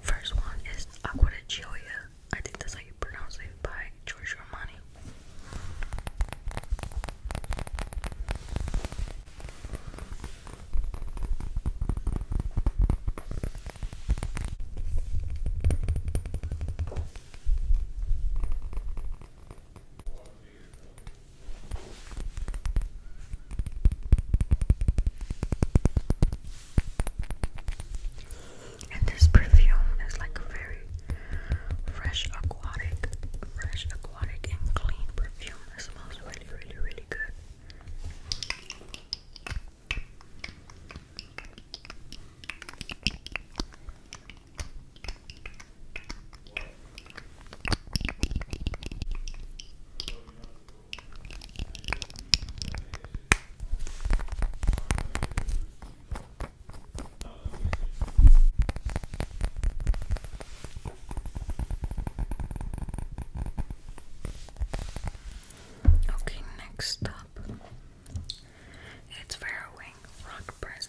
First one is Aqua di Gioia. I think that's how you pronounce it by Giorgio Armani. And this perfume is like a very fresh aquatic, fresh aquatic and clean perfume. It smells really, really, really good. Okay, next up, it's Farrowing Rock Press.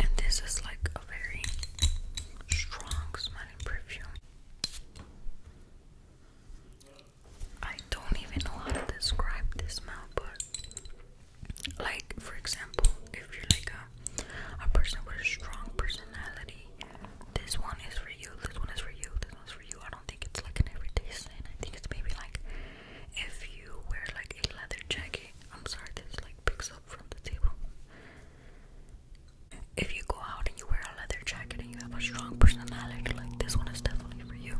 And this is like a very strong smelling perfume. I don't even know how to describe this smell, but like for example, if you're like a a person with a strong personality, this one is for you, this one is for you, this one's for you. I don't think it's like an everyday sign. I think it's maybe like if you wear like a leather jacket. I'm sorry, this like picks up from the table. If you go out and you wear a leather jacket and you have a strong personality, like this one is definitely for you.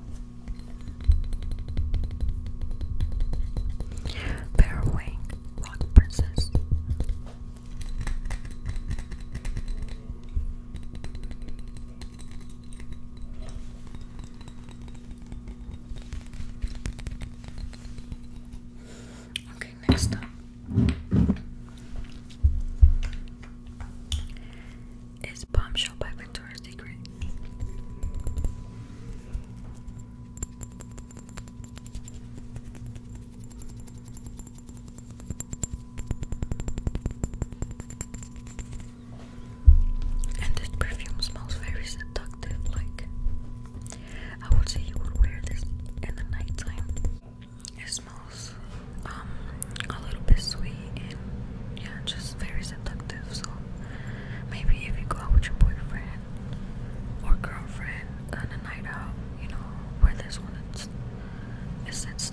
Bear wing, rock princess. Okay, next up is Bombshell by Victoria's Secret. And this perfume smells very seductive. Like, I would say you would wear this in the nighttime. It smells um a little bit sweet and yeah, just very seductive. So maybe if you go out with your boyfriend or girlfriend on a night out, you know, wear this one. It's, it sets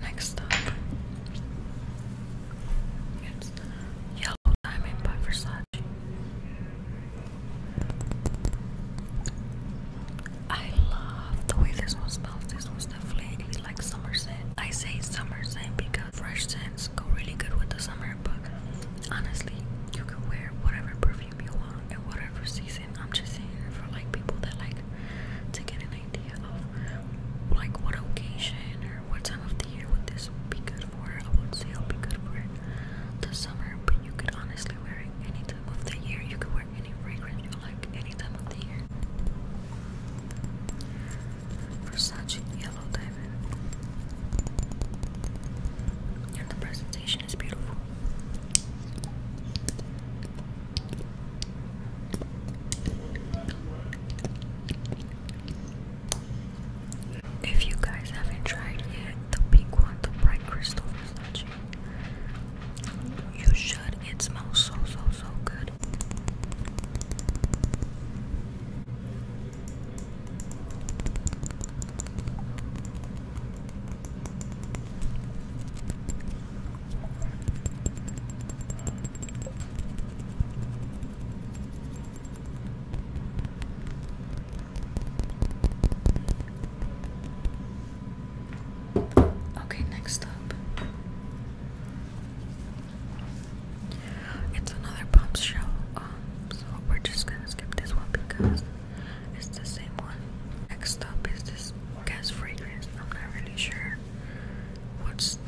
Next up, Yellow Diamond by Versace. I love the way this one smells. This one's definitely like summer scent. I say summer scent because fresh scents go really good with the summer favorite Honestly, you can wear whatever perfume you want at whatever season. I'm just saying for like people that like to get an idea of like what occasion or what time of the year would this be good for. I would say it'll be good for the summer, but you could honestly wear it any time of the year. You could wear any fragrance you like any time of the year. Versace, and the presentation is beautiful. If you guys haven't tried yet the pink one, the bright crystal you should. It smells so so so good. Okay, next up. It's another pump show so we're just gonna skip this one because it's the same one. Next up is this gas fragrance. I'm not really sure what's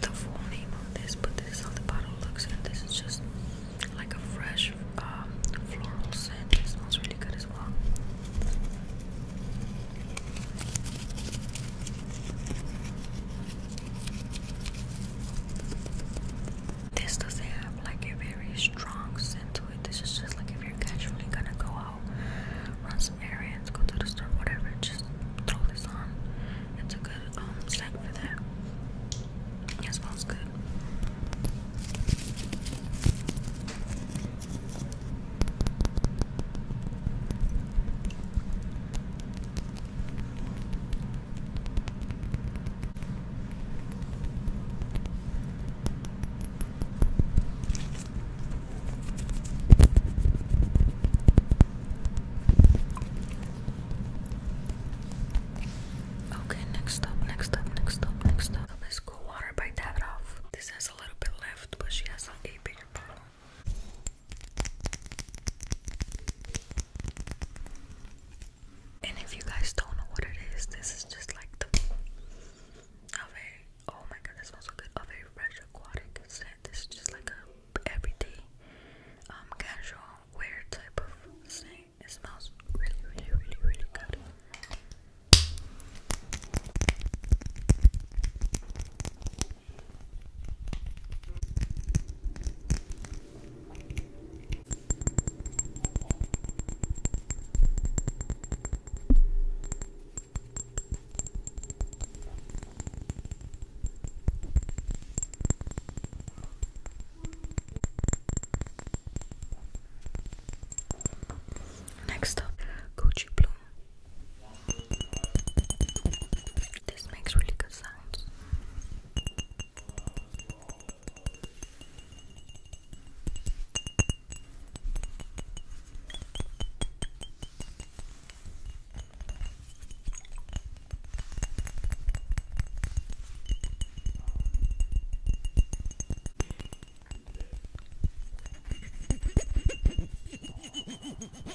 the full name of this, but this is how the bottle looks, and this is just like a fresh um, floral scent. It smells really good as well. This doesn't have like a very strong scent to it. This is just like if you're casually gonna go out, run some errands, go to the store, whatever, just throw this on. It's a good um scent for that. It smells good. Okay, next up, next up, next up, next up. Let's go water by Davidoff. This has a little bit left, but she has a bigger bottle. And if you guys don't know what it is, this is just like the a oh my god, that smells so good. A fresh aquatic scent. This is just like a everyday um, casual wear type of scent. It smells really, really, really, really good. Next up, Gucci Bloom. This makes really good sounds.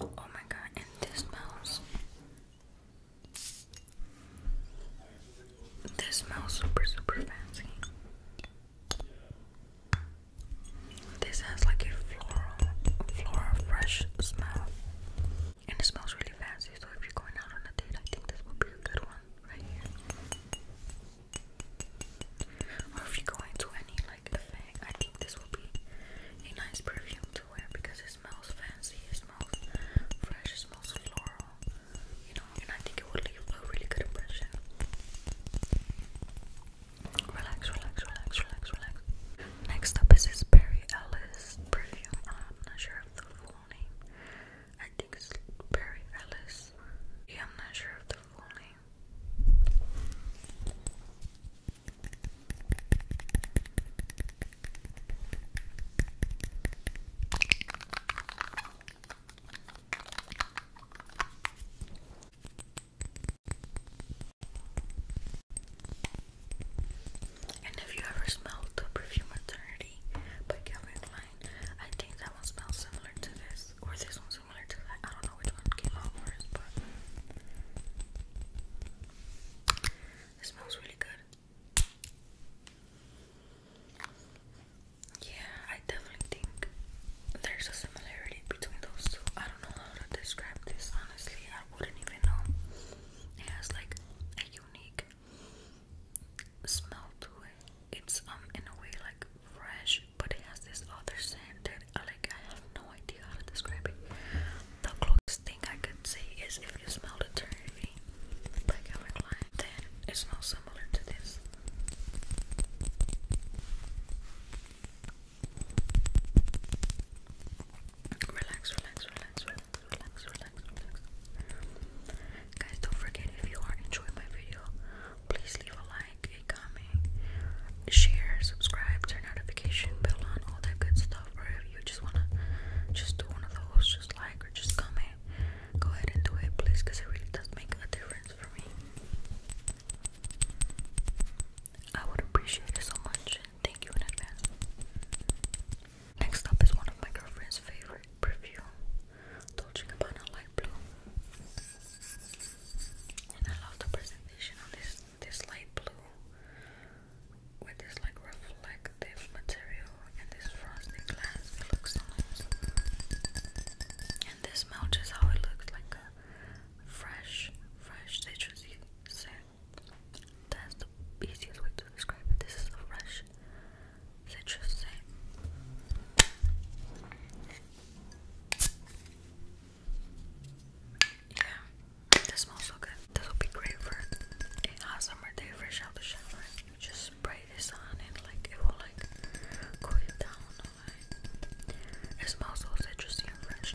Oh my god, and this smells. This smells super, super fancy. This has like a floral, floral fresh smell. And it smells really fancy, so if you're going out on a date, I think this would be a good one right here. Or if you're going to any like I think this would be a nice perfume to wear because it smells fancy, it smells fresh, it smells floral, you know, and I think it would leave a really good impression. Relax, relax, relax, relax, relax. Next up is this Perry Ellis perfume. I'm not sure of the full name. I think it's Perry Ellis. Yeah, I'm not sure of the full name. And if you ever smelled the perfume eternity by Calvin Klein, I think that one smells similar to this, or this one similar to that. I don't know which one came smells really good. Yeah, I definitely think there's a similarity between those two. I don't know how to describe this honestly. I wouldn't even know. It has like a unique smell to it. It's um in a way like fresh but it has this other scent that I like. I have no idea how to describe it. The closest thing I could say is if you smell eternity by Calvin Klein, then it smells similar to this. Relax, relax, relax, relax, relax, relax, relax. Guys, don't forget if you are enjoying my video, please leave a like like comment, share, subscribe, turn notification bell on, all that good stuff. Or if you just wanna just do one of those, just like or just comment, go ahead and do it, please, it really does make a difference for me. I would appreciate it so much. Thank you in advance. Next up is one of my girlfriend's favorite perfume, Dolce Gabbana Light Blue, and I love the present this light blue with this like reflective material and this frosted glass. It looks so nice. And this smell just how it looks like a fresh, fresh citrusy scent. That's the easiest way to describe it. This is a fresh citrus scent. Yeah, that smells so good. This will be great for a hot summer day fresh out the shower. just spray this on and like it will like cool you down. Like, it smells so citrusy and fresh.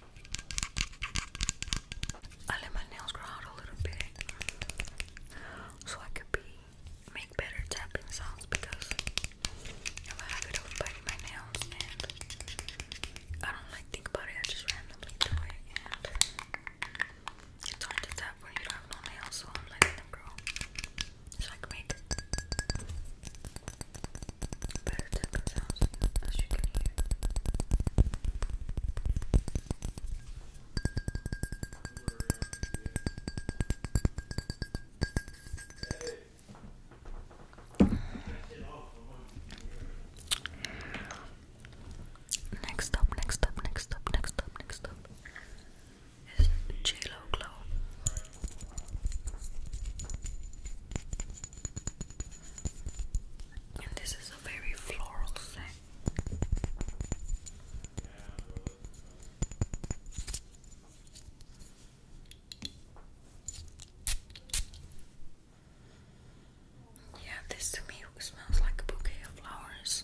I let my nails grow out a little bit so I could be make better tapping sounds because I'm a habit of biting my nails and I don't like think about it, I just randomly do it and it's hard to tap when you have no nails so I'm letting them grow so I can make better tapping sounds as you Next up, next up, next up, next up, next up is JLo Glow. And this is yeah, this to me smells like a bouquet of flowers.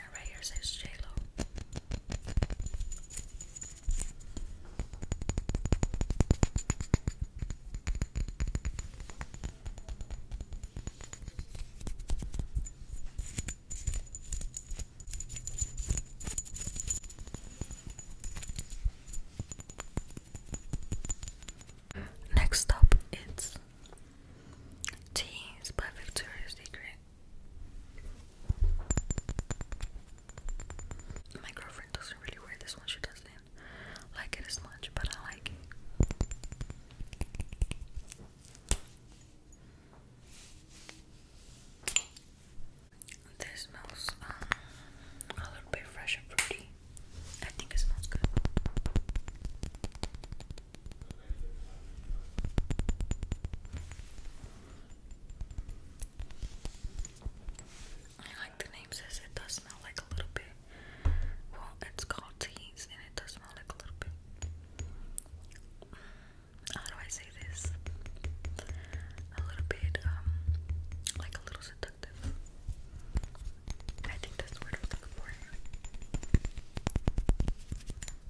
And right here says Next up, it's Teens by Victoria's Secret. My girlfriend doesn't really wear this one, she doesn't like it as much, but I like it. This smells um, a little bit fresh and fruity. I think it smells good. I like the name says it does smell like a little bit. Well, it's called teas and it does smell like a little bit. How do I say this? A little bit, um, like a little seductive. I think that's the word I looking for.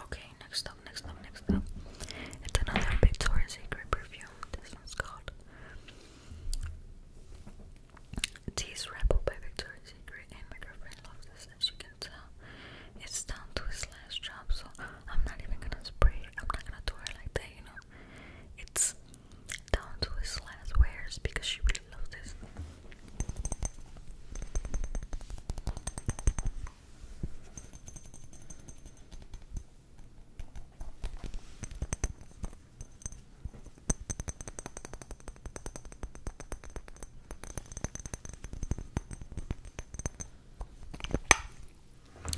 Okay, next up, next up, next up. It's another Victoria's Secret perfume. This one's called Tease Rebel by Victoria's Secret, and my girlfriend loves this, as you can tell. It's down to its last drop, so I'm not even gonna spray it. I'm not gonna do it like that, you know. It's down to its last wears because she really loves this.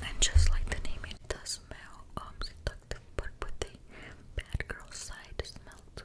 And just like the name, it does smell um but with the bad girl side smell to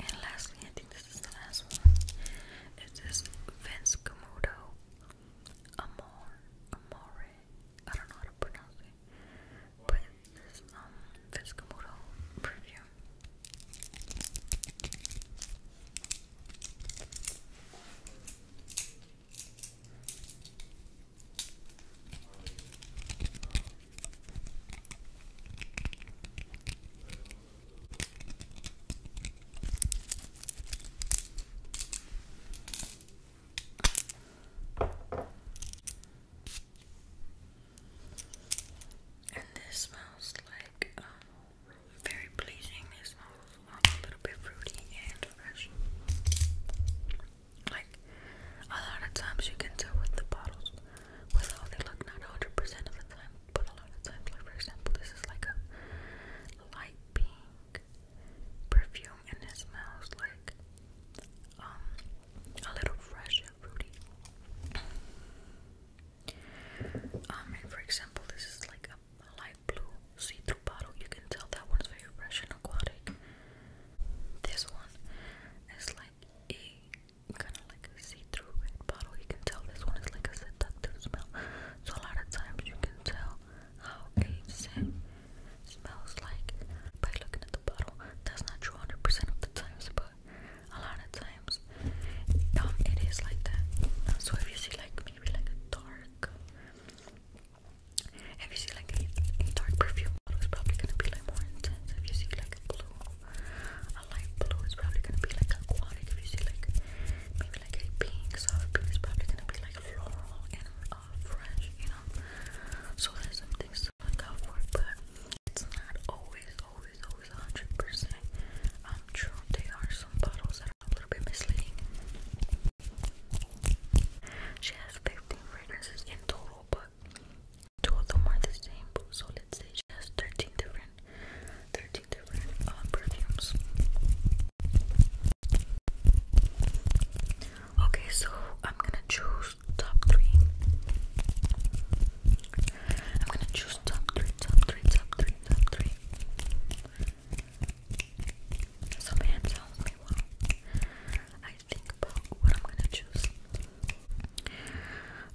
And lastly, I this is Vince Camuto Amor Amore. I don't know how to pronounce it. But this um, Vince Camuto perfume. And this smells like um, very pleasing. It smells a little bit fruity and fresh. Like, a lot of times you can tell with the bottles, with how they look, not 100% of the time, but a lot of times, like for example, this is like a light pink perfume and it smells like um, a little fresh and fruity. Um, and for example, this is like a light blue see-through bottle. You can tell that one's very fresh and aquatic. This one is like a kind of like see-through bottle. You can tell this one is like a seductive smell. So a lot of times you can tell how a scent smells like by looking at the bottle. That's not true percent of the times, but a lot of times um, it is like that. So if you see like maybe like a dark if you see like a, dark perfume bottle, it's probably gonna be like more intense. If you see like blue, a light blue, it's probably gonna be like aquatic. If you see like maybe like a pink, soft pink, it's probably gonna be like floral and uh, fresh, you know. So there's some to look out for, but it's not always, always, always 100%. Um, true, there are some bottles that are a little bit misleading. She has 15 fragrances in total, but two of them are the same. So let's say she has 13 different, 13 different um, perfumes. Okay, so I'm gonna choose top three. I'm gonna choose top three, top three, top three, top three. So I think about what I'm gonna choose.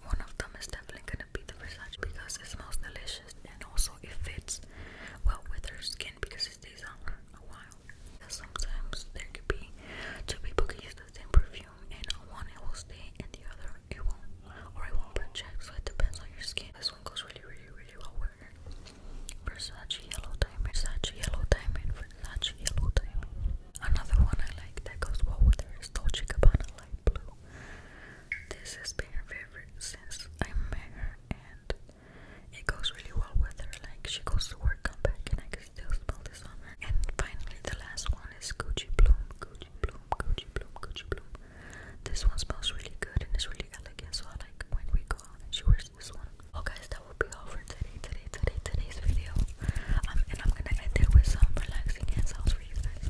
One of them is definitely gonna be the Versace because it smells delicious and also it fits well with her skin because it stays on her a while. sometimes there could be two people can use the same perfume and one it will stay and the other it won't or it won't project so it depends on your skin. This one goes really really really well with Burger. Versace Yellow Diamond, Versace Yellow Diamond, Versace Yellow Diamond. Another one I like that goes well with her is Dolce Gabbana Light Blue. This has been her favorite since I met her and it goes really well with her. Like she goes to work, come back and I can still smell this on And finally the last one is Gucci Bloom, Gucci Bloom, Gucci Bloom, Gucci Bloom. This one smells really good and it's really elegant so I like when we go out and she wears finish oh, that will be all for today, today, today, today's video. Um, and I'm gonna end it with some relaxing hand sounds for you guys.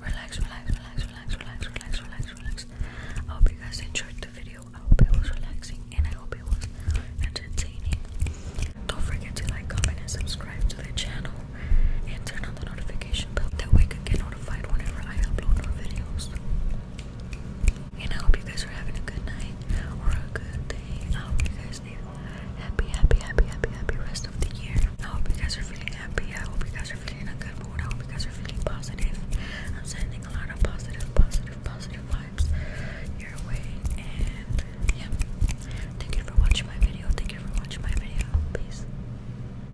Relax, relax, relax, relax, relax, relax, relax, relax. I hope you guys enjoyed the video. I hope it was relaxing and I hope it was entertaining. Don't forget to like, comment, and subscribe to the channel and turn on the notification bell. That way you can get I And I hope you guys are having a good night or a good day. I hope you guys are happy, happy, happy, happy, happy rest of the year. I hope you guys are feeling happy. I hope you guys are feeling good mood. I hope you guys are feeling positive. I'm sending a lot of positive, positive, positive vibes your way. And yeah, thank you for watching my video. Thank you for watching my video. Peace.